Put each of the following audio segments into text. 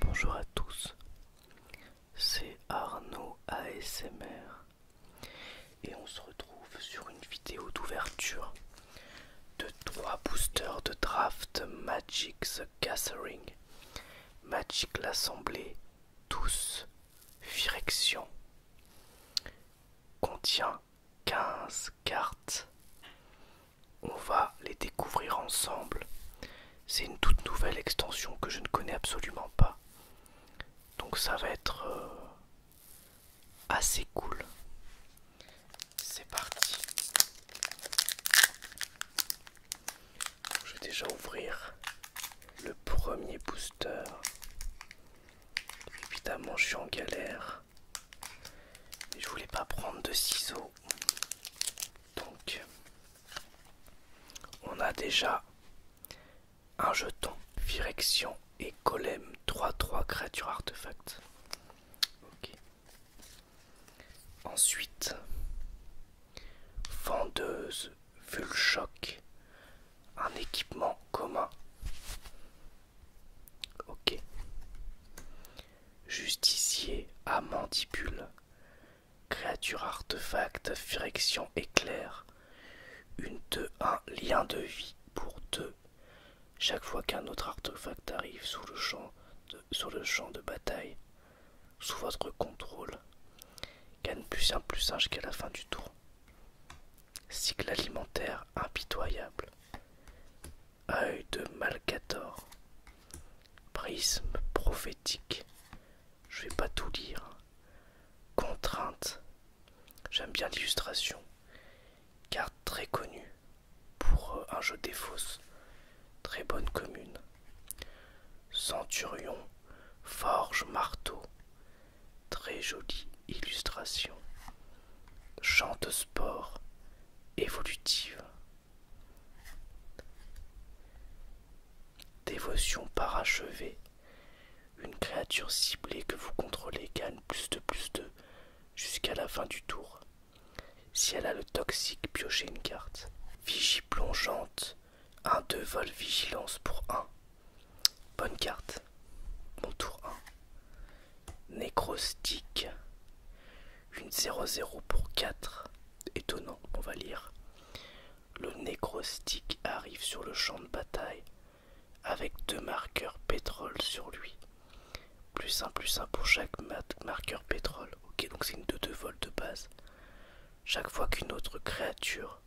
Bonjour à tous, c'est Arnaud ASMR et on se retrouve sur une vidéo d'ouverture de trois boosters de draft Magic the Gathering, Magic l'Assemblée, tous Direction contient 15 cartes. On va les découvrir ensemble. C'est une toute nouvelle extension que je ne connais absolument pas. Donc ça va être euh, assez cool. C'est parti. Je vais déjà ouvrir le premier booster. Évidemment, je suis en galère. je voulais pas prendre de ciseaux. Donc, on a déjà un jeton. direction et Golem 3-3 créature artefact. Ok. Ensuite, vendeuse Vulchoc un équipement commun. Ok. Justicier à mandibule. Créature artefact, friction éclair. Une deux un lien de vie pour deux. Chaque fois qu'un autre artefact arrive sur le champ de bataille, sous votre contrôle. Gagne plus un plus singe jusqu'à la fin du tour. Cycle alimentaire impitoyable. Œil de Malcator. Prisme prophétique. Je vais pas tout lire. Contrainte. J'aime bien l'illustration. Carte très connue pour euh, un jeu des fausses. Très bonne commune. Centurion, forge marteau, très jolie illustration. Chante sport, évolutive. Dévotion parachevée. Une créature ciblée que vous contrôlez gagne plus de plus de jusqu'à la fin du tour. Si elle a le toxique, piochez une carte. Vigie plongeante. 1, 2, vol, vigilance pour 1. Bonne carte. mon tour 1. Nécrostique. Une 0-0 pour 4. Étonnant, on va lire. Le nécrostique arrive sur le champ de bataille avec deux marqueurs pétrole sur lui. Plus 1, plus 1 pour chaque marqueur pétrole. Ok, donc c'est une 2-2 vol de base. Chaque fois qu'une autre créature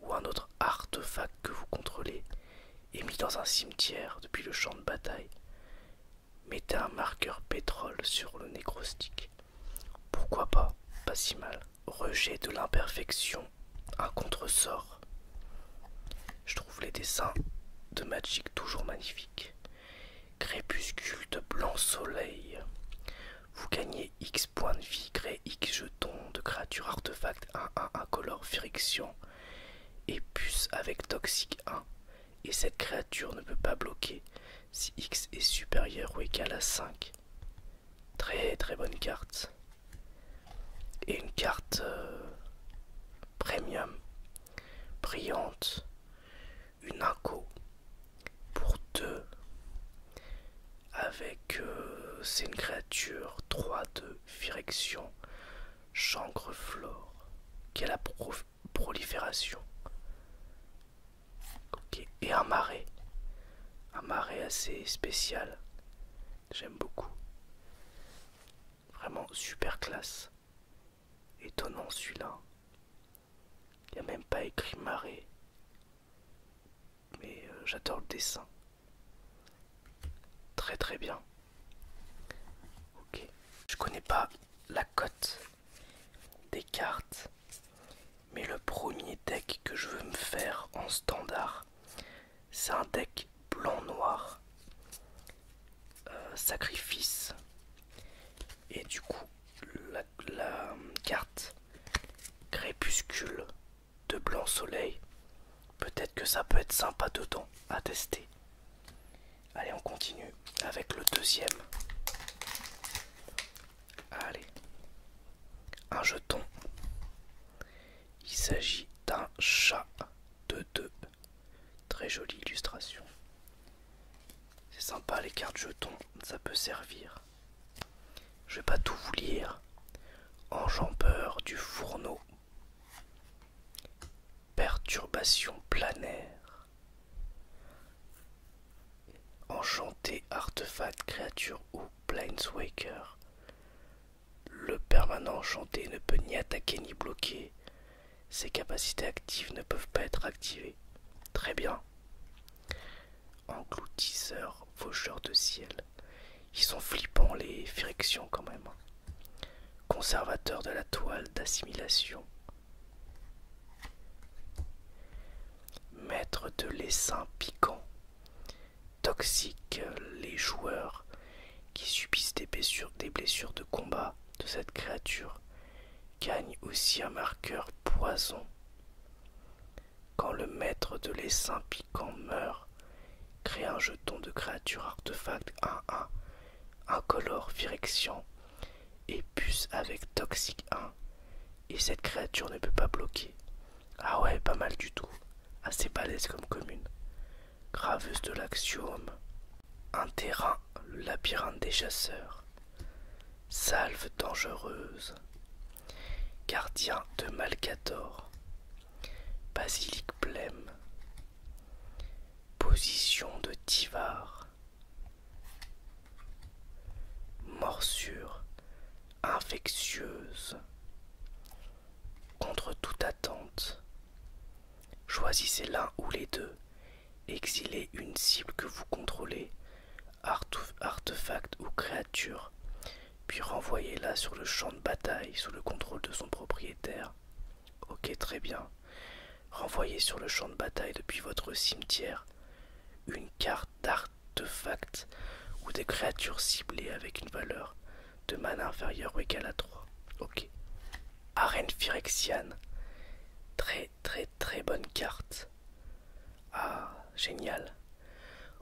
ou un autre artefact que vous contrôlez est mis dans un cimetière depuis le champ de bataille, mettez un marqueur pétrole sur le nécrostique. Pourquoi pas Pas si mal. Rejet de l'imperfection, un contresort. Je trouve les dessins de Magic toujours magnifiques. Crépuscule de blanc soleil. Vous gagnez X points de vie, créez X jetons de créatures artefacts 1-1 incolore friction et puce avec toxique 1. Et cette créature ne peut pas bloquer si X est supérieur ou égal à 5. Très très bonne carte. Et une carte euh, premium, brillante, une inco pour 2 avec euh, c'est une créature 3 de chancre flore qui a la prolifération et un marais un marais assez spécial j'aime beaucoup vraiment super classe étonnant celui-là il n'y a même pas écrit marée. Mais euh, j'adore le dessin. Très très bien. Ok. Je connais pas la cote des cartes. Mais le premier deck que je veux me faire en standard, c'est un deck blanc-noir. Euh, sacrifice et du coup, la, carte crépuscule de blanc soleil, peut-être que ça peut être sympa dedans à tester. Allez, on continue avec le deuxième. Allez, un jeton. Il s'agit d'un chat de deux. Très jolie illustration. C'est sympa les cartes jetons, ça peut servir. Je vais pas tout vous lire. Enjambeur du fourneau. Perturbation planaire. Enchanté, artefact, créature ou planeswaker. Le permanent enchanté ne peut ni attaquer ni bloquer ses capacités actives ne peuvent pas être activées. Très bien. Engloutisseurs, faucheurs de ciel. Ils sont flippants les frictions quand même. Conservateur de la toile d'assimilation. Maître de l'essaim piquant. Toxique les joueurs qui subissent des blessures de combat de cette créature gagne aussi un marqueur poison. Quand le maître de l'essaim piquant meurt, crée un jeton de créature artefact 1-1, incolore virexian et puce avec toxique 1, et cette créature ne peut pas bloquer. Ah ouais, pas mal du tout, assez balèze comme commune. Graveuse de l'axiome, un terrain, le labyrinthe des chasseurs. Salve dangereuse. Gardien de Malcator. Basilique blême. Position de Tivar. Morsure infectieuse. Contre toute attente. Choisissez l'un ou les deux Exilez une cible que vous contrôlez, artefact ou créature, puis renvoyez-la sur le champ de bataille sous le contrôle de son propriétaire. Ok, très bien. Renvoyez sur le champ de bataille depuis votre cimetière une carte d'artefact ou des créatures ciblées avec une valeur de mana inférieure ou égale à 3. Ok. Arène Phyrexiane. Très très très bonne carte. Ah, génial.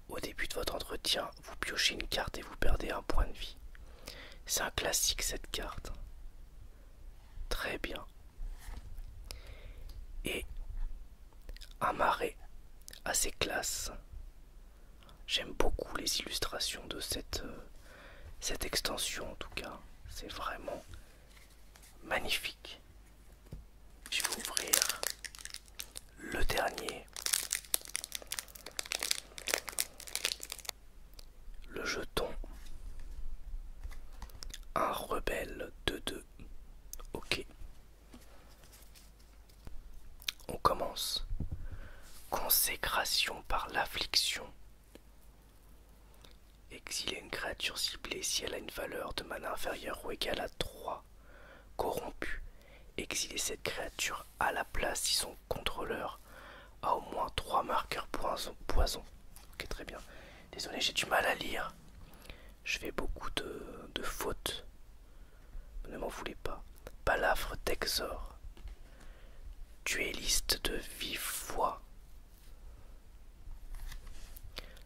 Au début de votre entretien, vous piochez une carte et vous perdez un point de vie. C'est un classique cette carte. Très bien. Et un à ses classes. J'aime beaucoup les illustrations de cette, euh, cette extension en tout cas. C'est vraiment magnifique. Je vais ouvrir le dernier. Le jeton. Un rebelle de deux. Ok. On commence. Consécration par l'affliction. Exiler une créature ciblée si elle a une valeur de mana inférieure ou égale à 3. Corrompu. Exiler cette créature à la place si son contrôleur a au moins 3 marqueurs poison. poison. Ok, très bien. Désolé, j'ai du mal à lire. Je fais beaucoup de, fautes. Ne m'en voulez pas. Balafre d'Exor. Tu liste de vive foi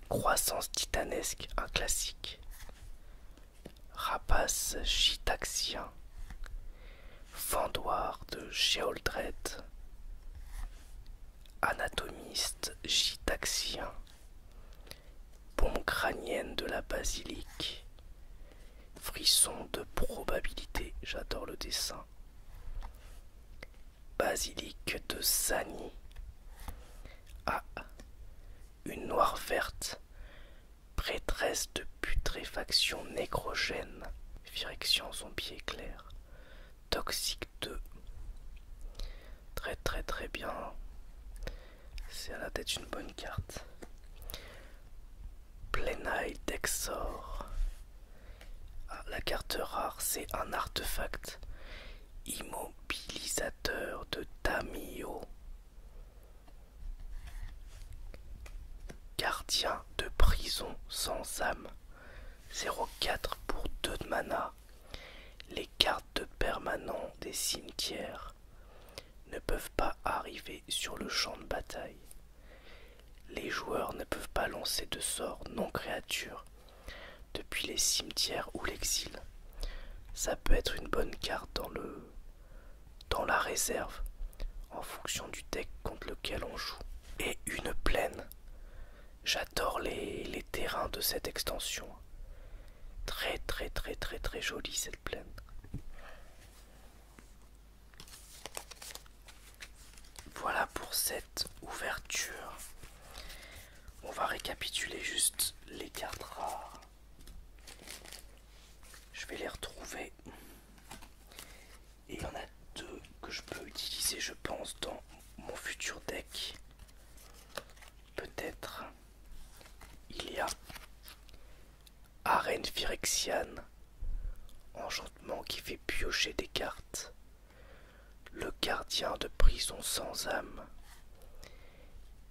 Croissance titanesque, un classique. Rapace gitaxien Fendoir de Géoldred. Anatomiste gitaxien. Bombe crânienne de la basilique. Frisson de probabilité, j'adore le dessin. Basilic de Sani. A. une noire verte, prêtresse de putréfaction nécrogène, son pied clair. toxique 2. Très très très bien. C'est à la tête une bonne carte. Plenaï d'Exor. Ah, la carte rare, c'est un artefact immobilisateur de Tamio. Gardien de prison sans âme. 0,4 pour 2 de mana. Les cartes de des cimetières ne peuvent pas arriver sur le champ de bataille. Les joueurs ne peuvent pas lancer de sorts non créatures depuis les cimetières ou l'exil. Ça peut être une bonne carte dans le dans la réserve en fonction du deck contre lequel on joue. Et une plaine. J'adore les, les terrains de cette extension. Très très très très très jolie cette plaine. Voilà pour cette ouverture. On va récapituler juste les cartes rares. Je vais les retrouver. il y en a deux que je peux utiliser, je pense, dans mon futur deck. Peut-être il y a Arène Phyrexiane, enchantement qui fait piocher des cartes, le gardien de prison sans âme,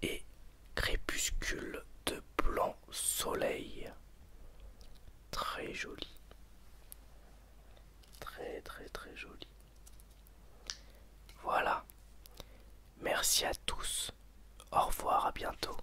et crépuscule de blanc soleil. Très joli. Très très très joli. Voilà. Merci à tous. Au revoir, à bientôt.